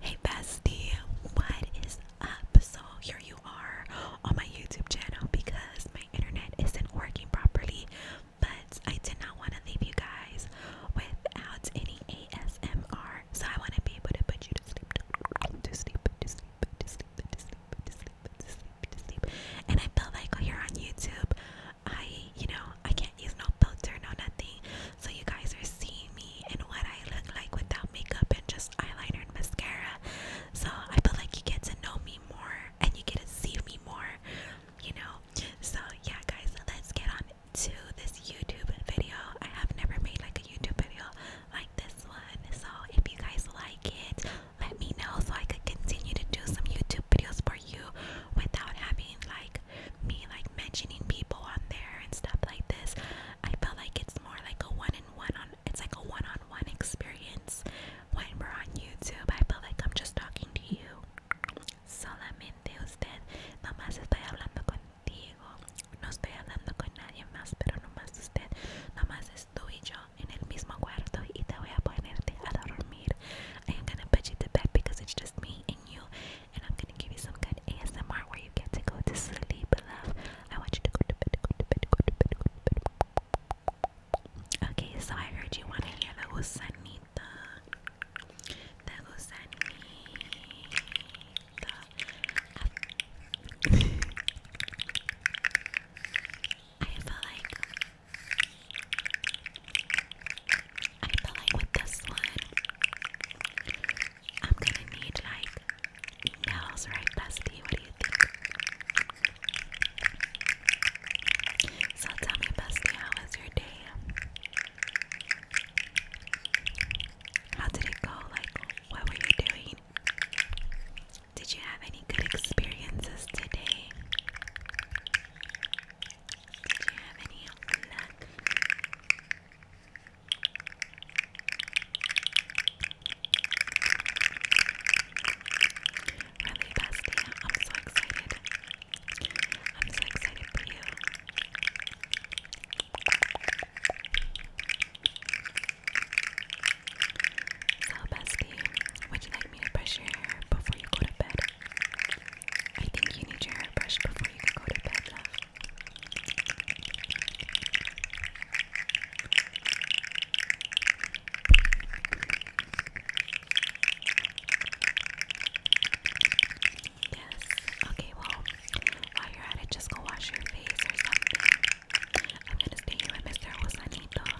Hey bestie, what is up? So here you are on my YouTube channel because my internet isn't working properly, but I did not want to leave you guys without any ASMR. So I want to be able to put you to sleep, to sleep, to sleep, to sleep, to sleep, to sleep, to sleep, to sleep. And I feel like here on YouTube, I, you know, I can't use no filter, no nothing so you guys are seeing me and what I look like without makeup and just eyeliner and mascara. So I feel like you get to know me more and you get to see me more, you know. So yeah, guys, let's get on to this YouTube video. I have never made like a YouTube video like this one. So if you guys like it, let me know so I could continue to do some YouTube videos for you without having like me like mentioning people on there and stuff like this, I felt like it's more like a one in one on it's like a one on one experience when we're on YouTube. I feel like I'm just talking to you. Solamente usted, nomás estoy hablando contigo. No estoy hablando con nadie más, pero nomás usted, nomás es tú y yo en el mismo cuarto y te voy a ponerte a dormir. I am gonna put you to bed because it's just me and you and I'm gonna give you some good ASMR where you get to go to sleep, love. I want you to go to bed, go to bed, go to bed, go to bed. Okay, so I heard you wanna hear the gusanita, the gusanita. I feel like I feel like with this one, I'm gonna need like nails, right, Bestie? What do you think? So tell me, Bestie, how was your day? How did it go? Like, what were you doing? Did you have any good experiences today? Did you have any luck? Really, bestie, I'm so excited. I'm so excited for you. So, bestie, would you like me to brush your hair before you go to bed? I think you need your hairbrush before you can go to bed, love. Yes. Okay, well, while you're at it, just go wash your face or something. I'm gonna stay here with Mr. Josanito.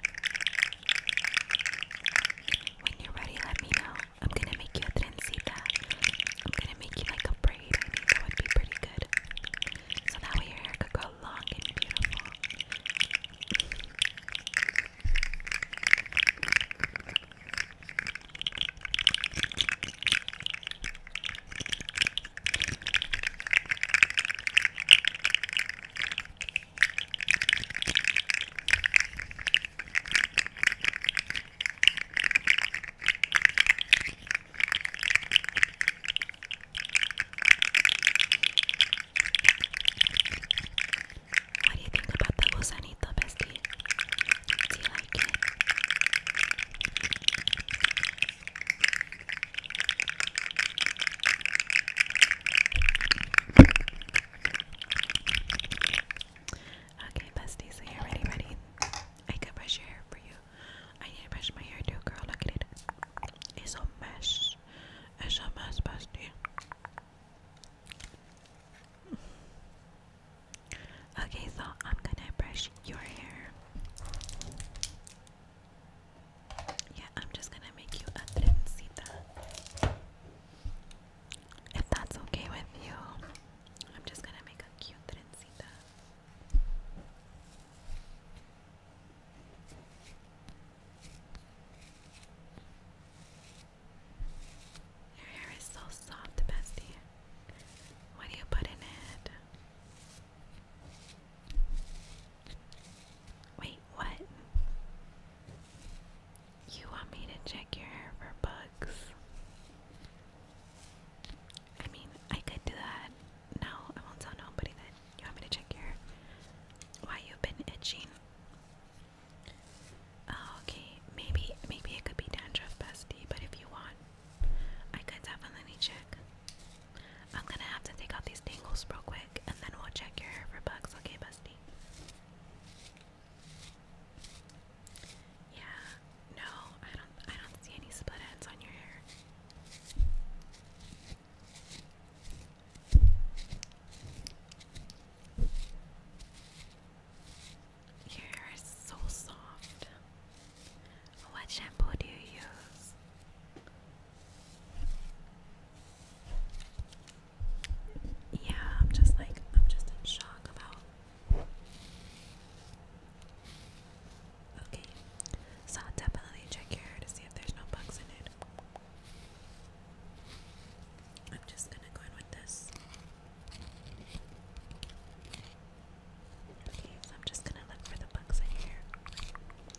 When you're ready, let me know. I'm gonna make you a trencita. I'm gonna make you like a braid. I think that would be pretty good. So that way your hair could grow long and beautiful. What do you think about the gusanito, Do you like it? Okay, bestie, so you're ready, ready? I can brush your hair for you. I need to brush my hair too, girl. Look at it. It's a mess. It's a mess, bestie. Okay, so I'm gonna brush your hair. Yeah, I'm just gonna make you a trencita. If that's okay with you, I'm just gonna make a cute trencita. Your hair is so soft, bestie. What do you put in it? Wait, what? You want me to check your hair for bugs? I mean, I could do that. No, I won't tell nobody that you want me to check your hair. Why you've been itching? Oh, okay, maybe maybe it could be dandruff, bestie. But if you want, I could definitely check. I'm gonna have to take out these tangles real quick and then we'll check your hair for bugs, okay, Busty? Yeah, no, I don't I don't see any split ends on your hair. Your hair is so soft. What shampoo do you use? Yeah, I'm just like, I'm just in shock about. Okay, so I'll definitely check your hair to see if there's no bugs in it. I'm just gonna go in with this. Okay, so I'm just gonna look for the bugs in here.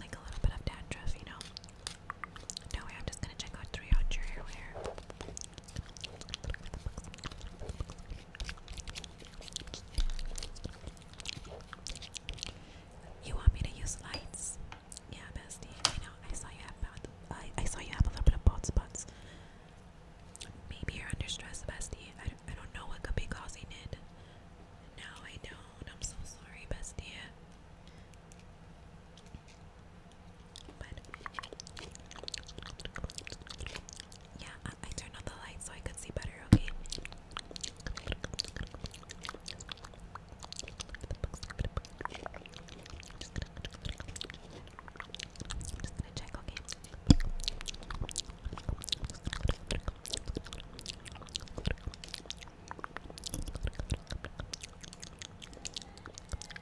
like a little bit of dandruff, you know. No way, I'm just gonna check out three out your hair. You want me to use lights? Yeah, bestie. I know. I saw you have I, I saw you have a little bit of bald spots. Maybe you're under stress, bestie. I, I don't know what could be causing it. No, I don't. I'm so sorry, bestie. But yeah, I, turned on the light so I could see better. Okay. I'm just gonna check. Okay.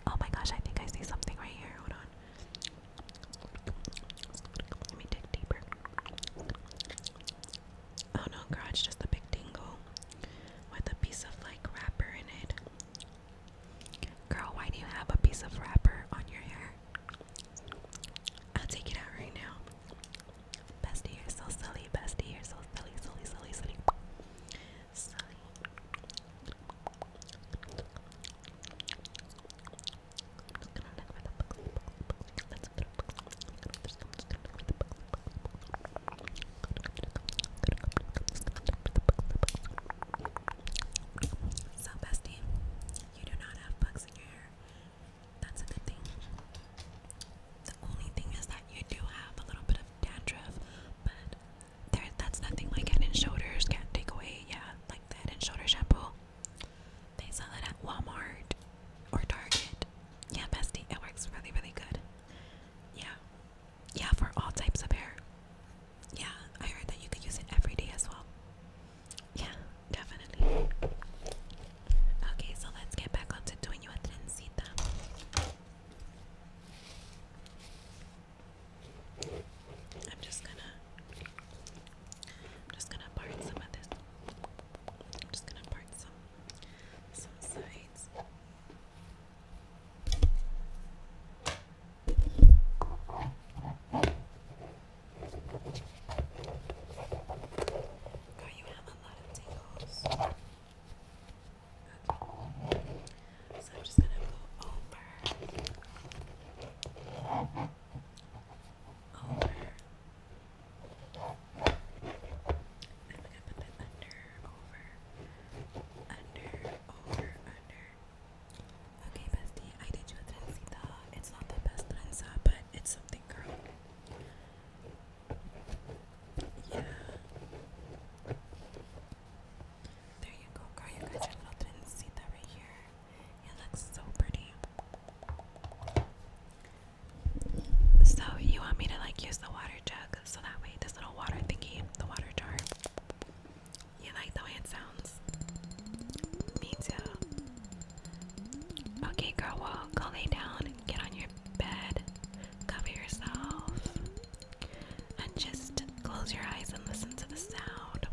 Oh my gosh, I think I see something right here. Hold on. Let me dig deeper. Oh no, garage, just a big dingle with a piece of like wrapper in it. Girl, why do you have a piece of wrapper on your hair? I'll take it out right now. Bestie, you're so silly. Bestie, you're so silly, silly, silly, silly. Silly. So, bestie, you do not have bugs in your hair. That's a good thing. The only thing is that you do have a little bit of dandruff, but there that's nothing like head shoulders can't take away, yeah, like the and shoulder shampoo. They sell it at Walmart or Target. Yeah, bestie, it works really, really good. Yeah. Yeah, for all types of hair. Yeah, I heard that you could use it every day as well. Yeah, definitely. Okay, so let's get back onto doing your trencita. I'm just gonna, I'm just gonna part some of this. I'm just gonna part some, some sides. God, you have a lot of tingles. So I'm just gonna go over. Over. I'm gonna put that under, over, under, over, under, Okay, bestie, I did you a trencita. It's not the best trenza, but it's something, girl. Yeah. There you go, girl. You got your little trencita right here. It looks so pretty. So, you want me to like use the water jug so that way this little water thingy, the water jar, you like the way it sounds? Me too. Okay, girl, well, go lay down, get on your bed, cover yourself, and just close your eyes and listen to the sound.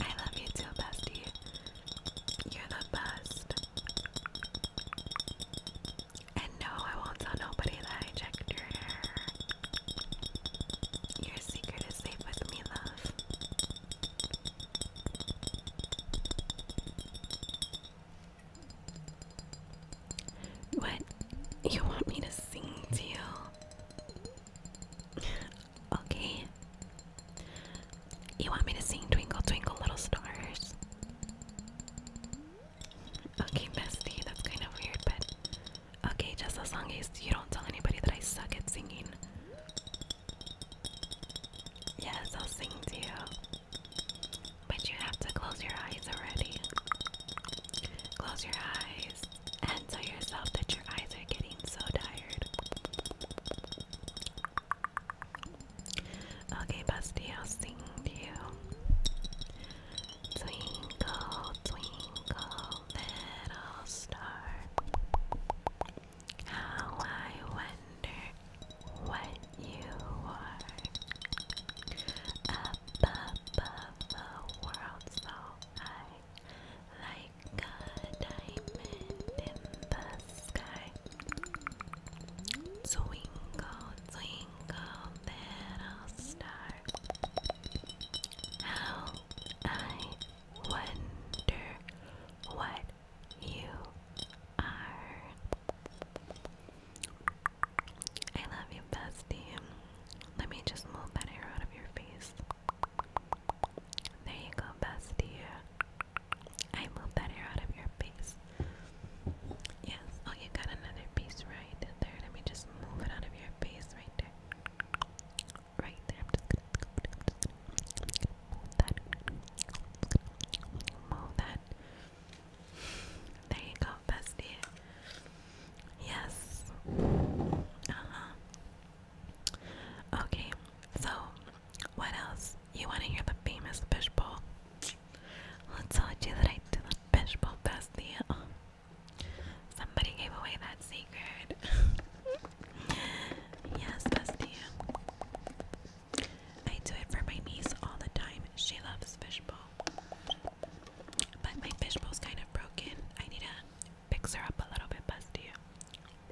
I love you too, bestie. You're the best. And no, I won't tell nobody that I checked your hair. Your secret is safe with me, love. What? You want me to sing to you? okay. You want me to sing Twinkle Twinkle Little Stars? Okay, bestie, that's kind of weird, but okay, just as long as you don't tell anybody that I suck at singing. Yes, I'll sing to you. But you have to close your eyes already. Close your eyes and tell yourself that your eyes are getting so tired. Okay, Busty, I'll sing to you. Twinkle, twinkle, little star. How I wonder what you are. Up above the world so high, like a diamond in the Twinkle, twinkle, little star. How I wonder what you are. I love you, bestie. Let me just move that hair out of your face. There you go, bestie. I move that hair out of your face. Yes. Oh, you got another piece right there. Let me just move it out of your face right there. Right there. move that. Move that. There you go, bestie. Yes. Uh huh. Okay, so what else? You want to hear the famous fishbowl? Let's all that I did the fishbowl fest Somebody gave away that secret. yes, bestie. I do it for my niece all the time. She loves fishbowl. But my fishbowl's kind of broken. I need to fix her up a little bit, bestie.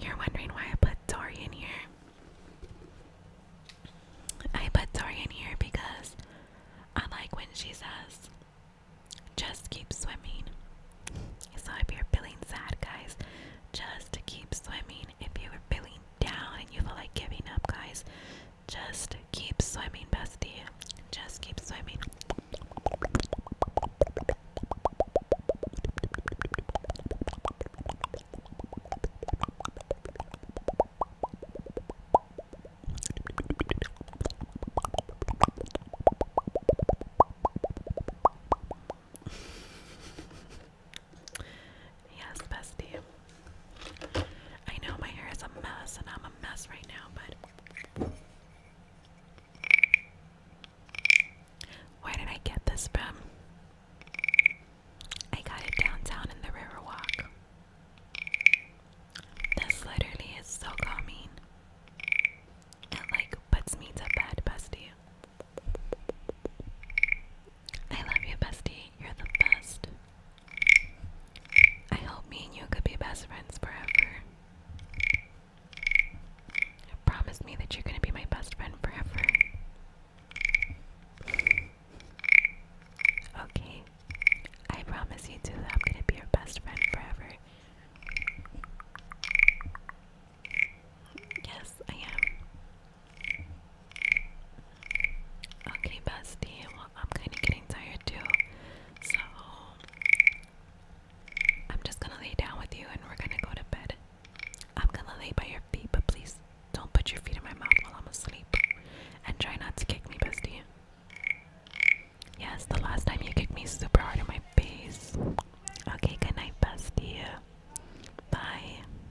You're wondering why I put Dory in here. I put Dory in here because I like when she says, just keep swimming. So if you're feeling sad, guys, just keep swimming. If you are feeling down and you feel like giving up, guys, just keep swimming, bestie. Just keep swimming. Yes, bestie. I know my hair is a mess and I'm a mess right now, but where did I get this from? I got it downtown in the Riverwalk. This literally is so calming. It like puts me to bed, bestie. I love you, bestie. You're the best. I hope me and you could be best friends forever. Promise me that you're gonna be my best friend forever. Okay. I promise you too that I'm gonna be your best friend forever. Yes, I am. Okay, bestie. Well, I'm kind of getting tired too, so I'm just gonna lay down with you, and we're gonna go to bed. I'm gonna lay by your feet, but please don't put your feet in my mouth while I'm asleep, and try not to kick me, bestie. Yes, the last time you kicked me super hard in my face. Okay, good bestie. Bye.